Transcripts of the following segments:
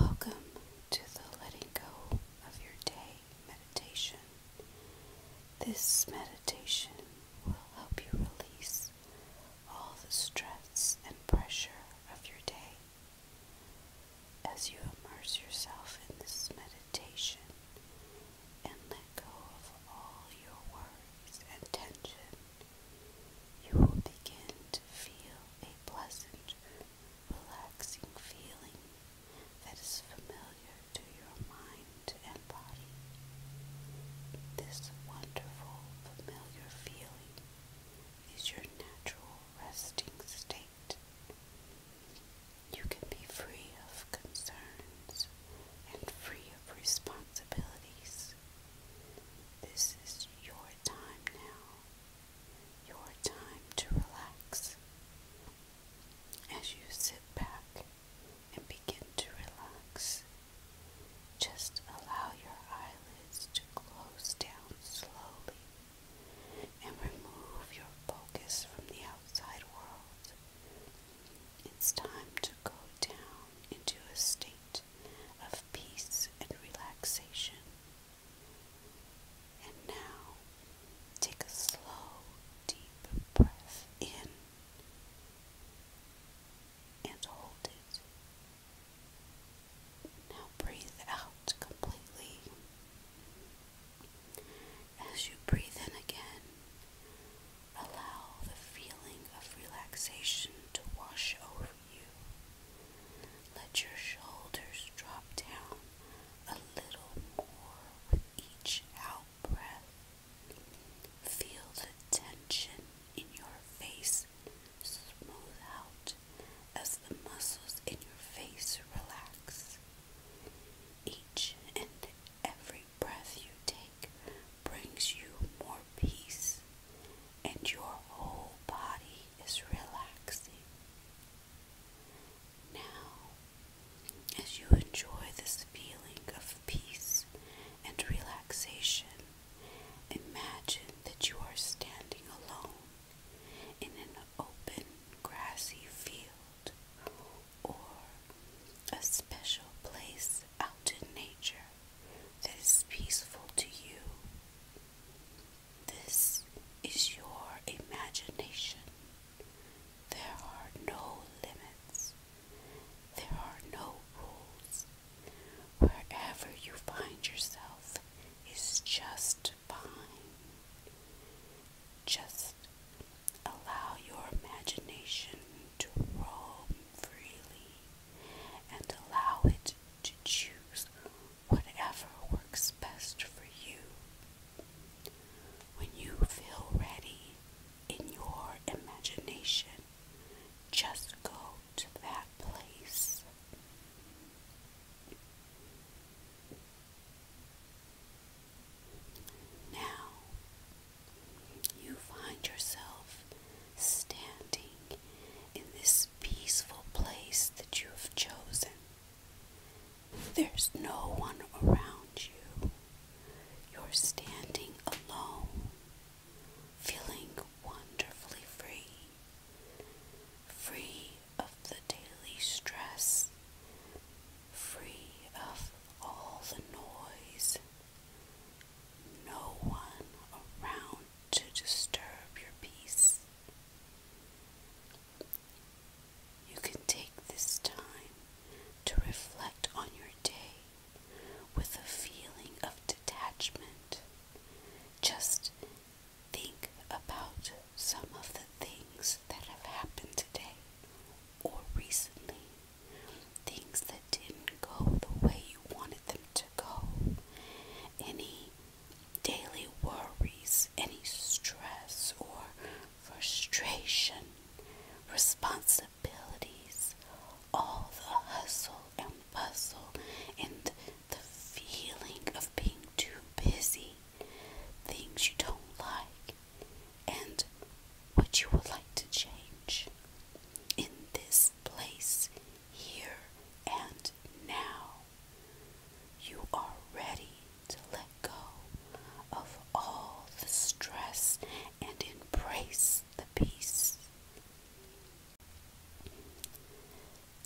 Welcome to the letting go of your day meditation. This meditation will help you release all the stress and pressure of your day. As you immerse yourself in this meditation and let go of all your worries and tension, you will begin to feel a pleasant, relaxing feeling that is familiar to your mind and body. This wonderful, familiar feeling is your natural resting state. You can be free of concerns and free of responsibilities. This is your time now, your time to relax. As you sit back and begin to relax, just allow your eyelids to close down slowly and remove your focus from the outside world. It's time to go down into a state of peace and relaxation. And now take a slow, deep breath in and hold it. Now breathe out completely. As you breathe in again, Allow the feeling of relaxation to wash over you. Let your shoulders drop down a little more with each out breath. Feel the tension in your face smooth out as the muscles in your face relax. Each and every breath you take brings you more peace and your whole body is relaxing. Now, as you enjoy this feeling of peace and relaxation, imagine that you are standing alone in an open grassy field or a special place out in nature that is peaceful to you. This is your imagination. There are no limits. There are no rules. Wherever you find yourself is just fine. Just allow your imagination to roam freely and allow it to choose whatever works best for you. When you feel ready in your imagination, just go to that place. Now, you find yourself standing in this peaceful place that you have chosen. There's no one around you. You're standing alone, feeling wonderfully free, free of the daily stress, free of all the noise no one around to disturb your peace. You can take this time to reflect on your day with a feeling of detachment. Just think about some of the things that have happened today or recently Things that didn't go the way you wanted them to go. Any daily worries, any stress or frustration, responsibilities, all the hustle and bustle and the feeling of being too busy, things you don't like and what you would like to change in this place here and now. You are ready to let go of all the stress and embrace the peace.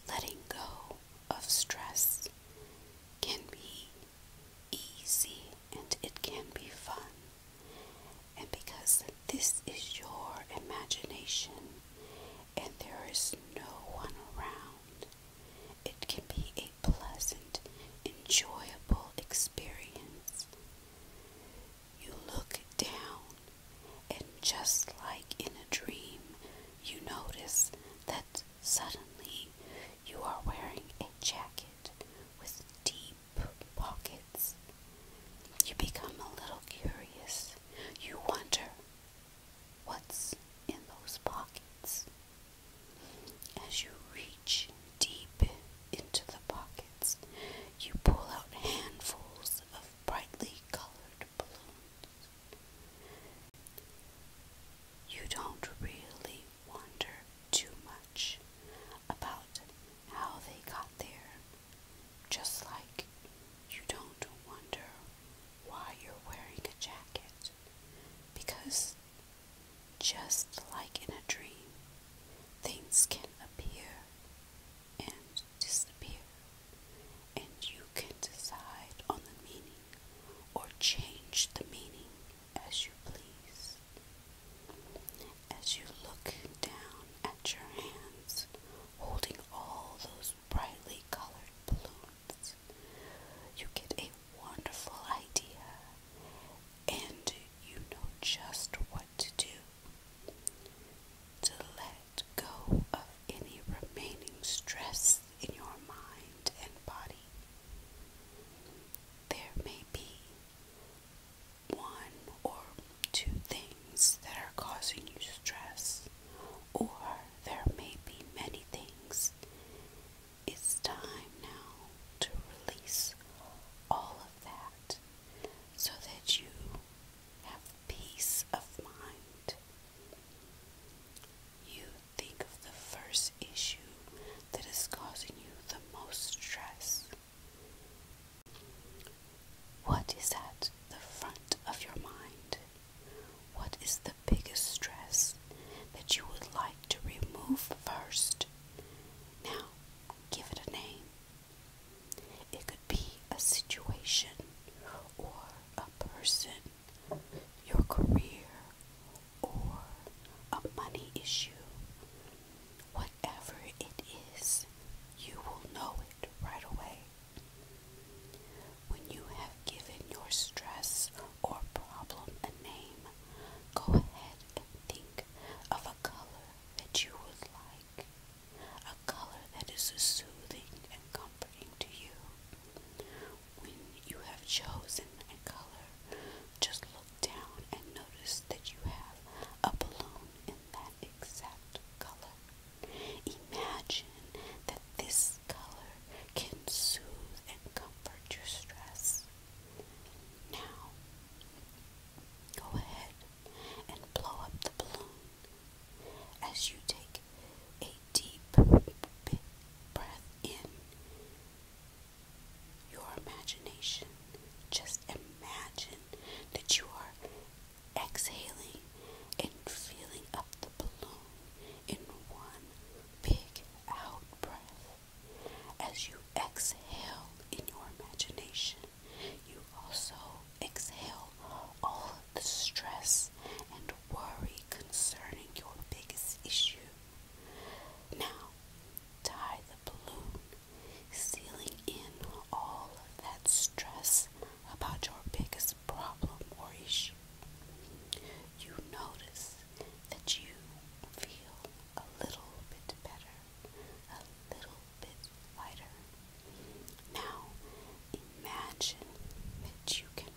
Letting go of stress can be easy and it can be fun. And because this is your imagination and there is no one around, it can be a pleasant, enjoyable experience. You look down, and just like in a dream, you notice that suddenly you are wearing a jacket with deep pockets. You become a little curious. You wonder what's in those pockets. As you reach deep into the pockets, you pull out handfuls of brightly colored balloons. You don't really wonder too much about how they got there. Just like you don't wonder why you're wearing a jacket. Because just like in a dream, things can appear and disappear, and you can decide on the meaning or change the meaning as you please. As you look down at your hands holding all those brightly colored balloons, you get a wonderful idea and you know just what to do to let go of any remaining stress in your mind and body. There may be one or two things that are causing you stress, or there may be many things. It's time now to release all of that so that you have peace of mind. You think of the first issue that is causing you the most stress. What is at the front of your mind? What is the biggest stress that you would like to remove first? Now, give it a name. It could be a situation or a person, your career, or a money issue, Whatever it is, you will know it right away. When you have given your stress or problem a name, go ahead and think of a color that you would like, a color that is soothing and comforting to you. When you have chosen a color, just down and notice that you have a balloon in that exact color. Imagine that this color can soothe and comfort your stress. Now, go ahead and blow up the balloon as you take a deep big breath in your imagination. Just imagine that you are exhaling and filling up the balloon in one big out breath. As you exhale in your imagination, you also exhale all of the stress and worry concerning your biggest issue now, tie the balloon, sealing in all of that stress about your biggest problem or issue. You notice that you feel a little bit better, a little bit lighter. Now, imagine that you can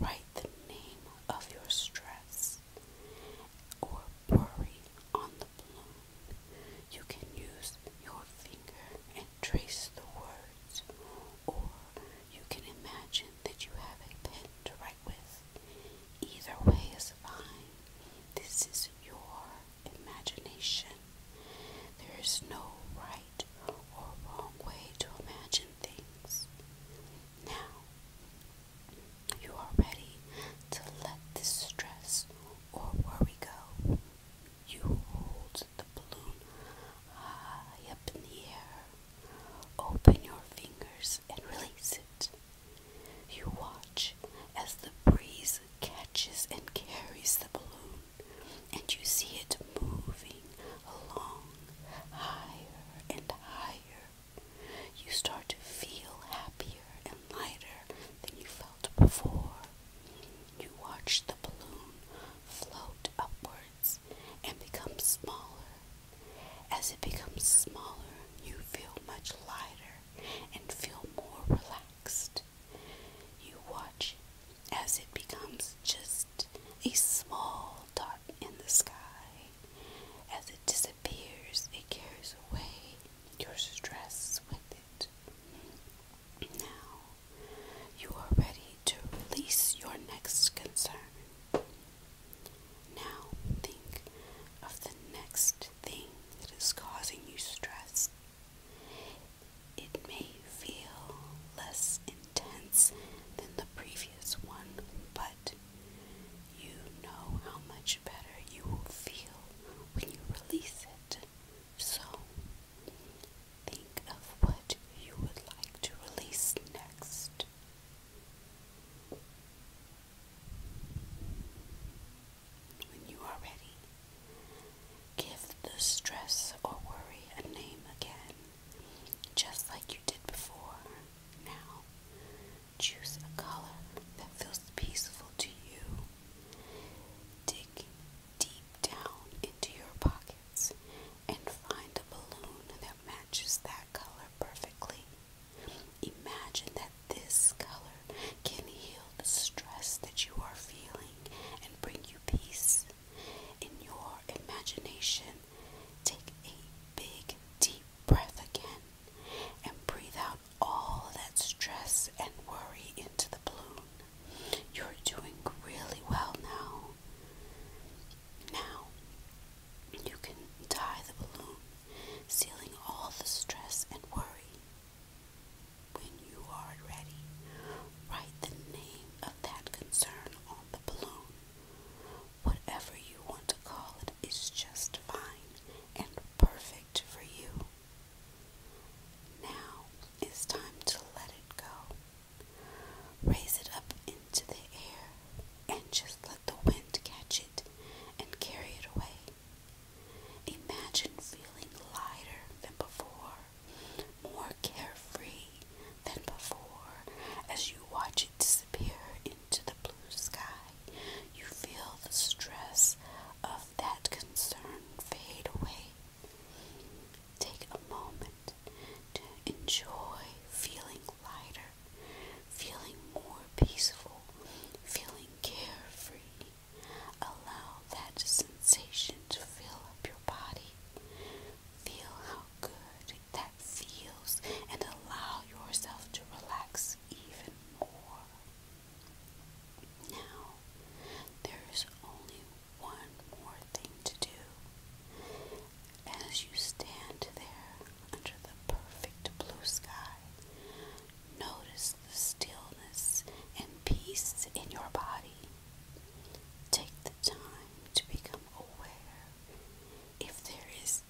write the name of your stress or pouring on the balloon. You can use your finger and trace the words, or you can imagine that you have a pen to write with. Either way is fine. This is your imagination. There is no right or wrong way to imagine things. Now, you are ready to let this stress or worry go. You hold the balloon high up in the air. Open your fingers and release it. You watch as the breeze catches and carries the balloon, and you see it moving along higher and higher you start to feel happier and lighter than you felt before. You watch the balloon float upwards and become smaller. As it becomes smaller, you feel much lighter and feel more relaxed. You watch as it becomes just a small dot in the sky. As it disappears, it carries away your stress with it. Now, you are ready to release your next concern. Now, think of the next thing that is causing you stress. It may feel less intense than the previous one, but you know how much better you will feel when you release it. So, think of what you would like to release next. When you are ready, give the stress or worry a name again just like you did before. Now, choose a color that feels peaceful to you. Dig deep down into your pockets and find a balloon that matches that color perfectly. Imagine that this color can heal the stress that you are feeling and bring you peace. In your imagination, Take a big, deep breath again and breathe out all that stress and worry into the balloon. You're doing really well now. Now, you can tie the balloon, sealing all the stress and worry. When you are ready, write the name of that concern on the balloon. Whatever you want to call it is just fine and perfect for you. Now it's time to let it go. Raise it up into the air and just let the wind catch it and carry it away. Imagine feeling lighter than before, more carefree, than before. As you watch it disappear into the blue sky, you feel the stress of that concern fade away. Take a moment to enjoy feeling lighter, feeling more peaceful, feeling carefree. Allow that sensation to fill up your body. Feel how good that feels and allow yourself to relax even more. Now, there is only one more thing to do. As you stand there under the perfect blue sky, notice the stillness and peace in your body. Take the time to become aware if there is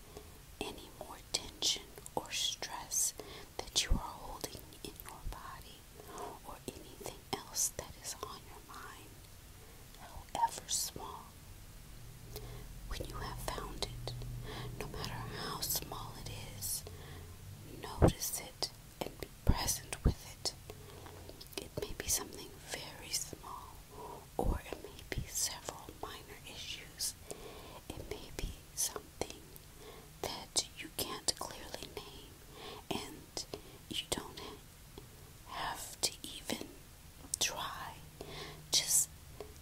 any more tension or stress that you are holding in your body or anything else that is on your mind, however small. When you have found it, no matter how small it is, notice it and be present with it. It may be something very small or it may be several minor issues. It may be something that you can't clearly name and you don't have to even try. Just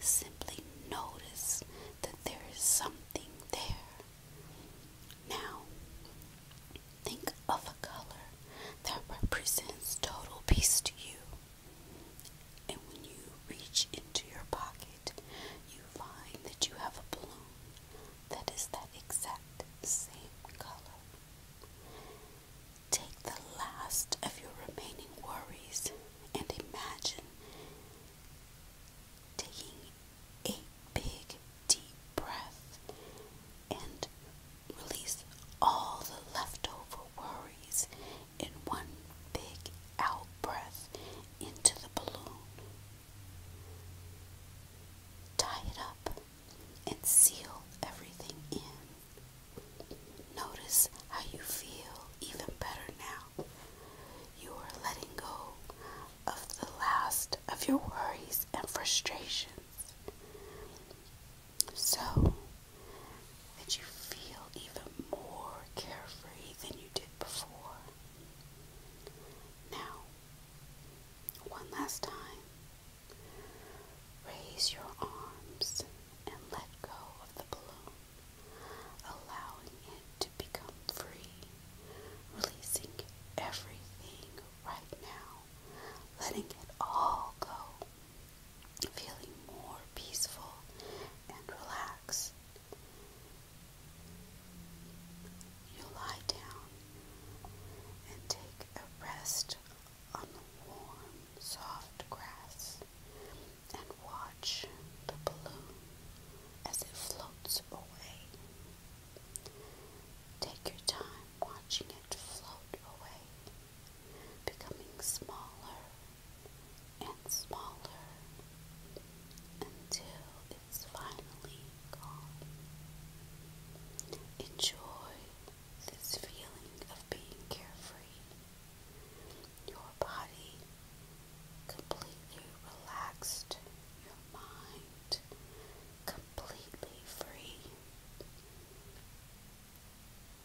simply notice that there is something there. Now, Think of a color that represents total peace to you. And when you reach into your pocket, you find that you have a balloon that is that exact same color. Take the last of your remaining worries and imagine taking a big deep breath and release all the leftover worries in one big out breath into the balloon. Tie it up and seal everything in. Notice how you feel even better now. You are letting go of the last of your worries and frustrations so that you feel even more carefree than you did before. Now, one last time, raise your arms and let go of the balloon, allowing it to become free, releasing everything right now letting it all go, feeling more peaceful and relaxed. You lie down and take a rest on the warm, soft grass and watch the balloon as it floats away. Take your time watching it float away, becoming smaller and smaller until it's finally gone. Enjoy this feeling of being carefree. Your body completely relaxed, your mind completely free.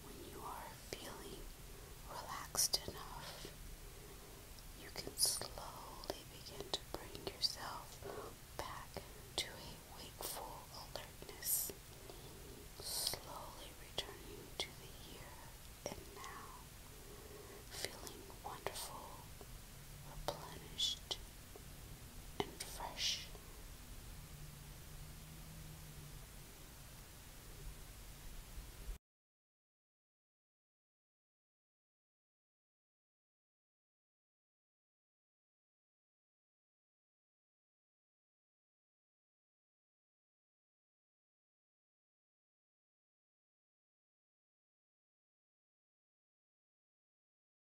When you are feeling relaxed enough, you can slowly begin to bring yourself back to a wakeful alertness, slowly returning to the here and now, feeling wonderful, replenished, and fresh.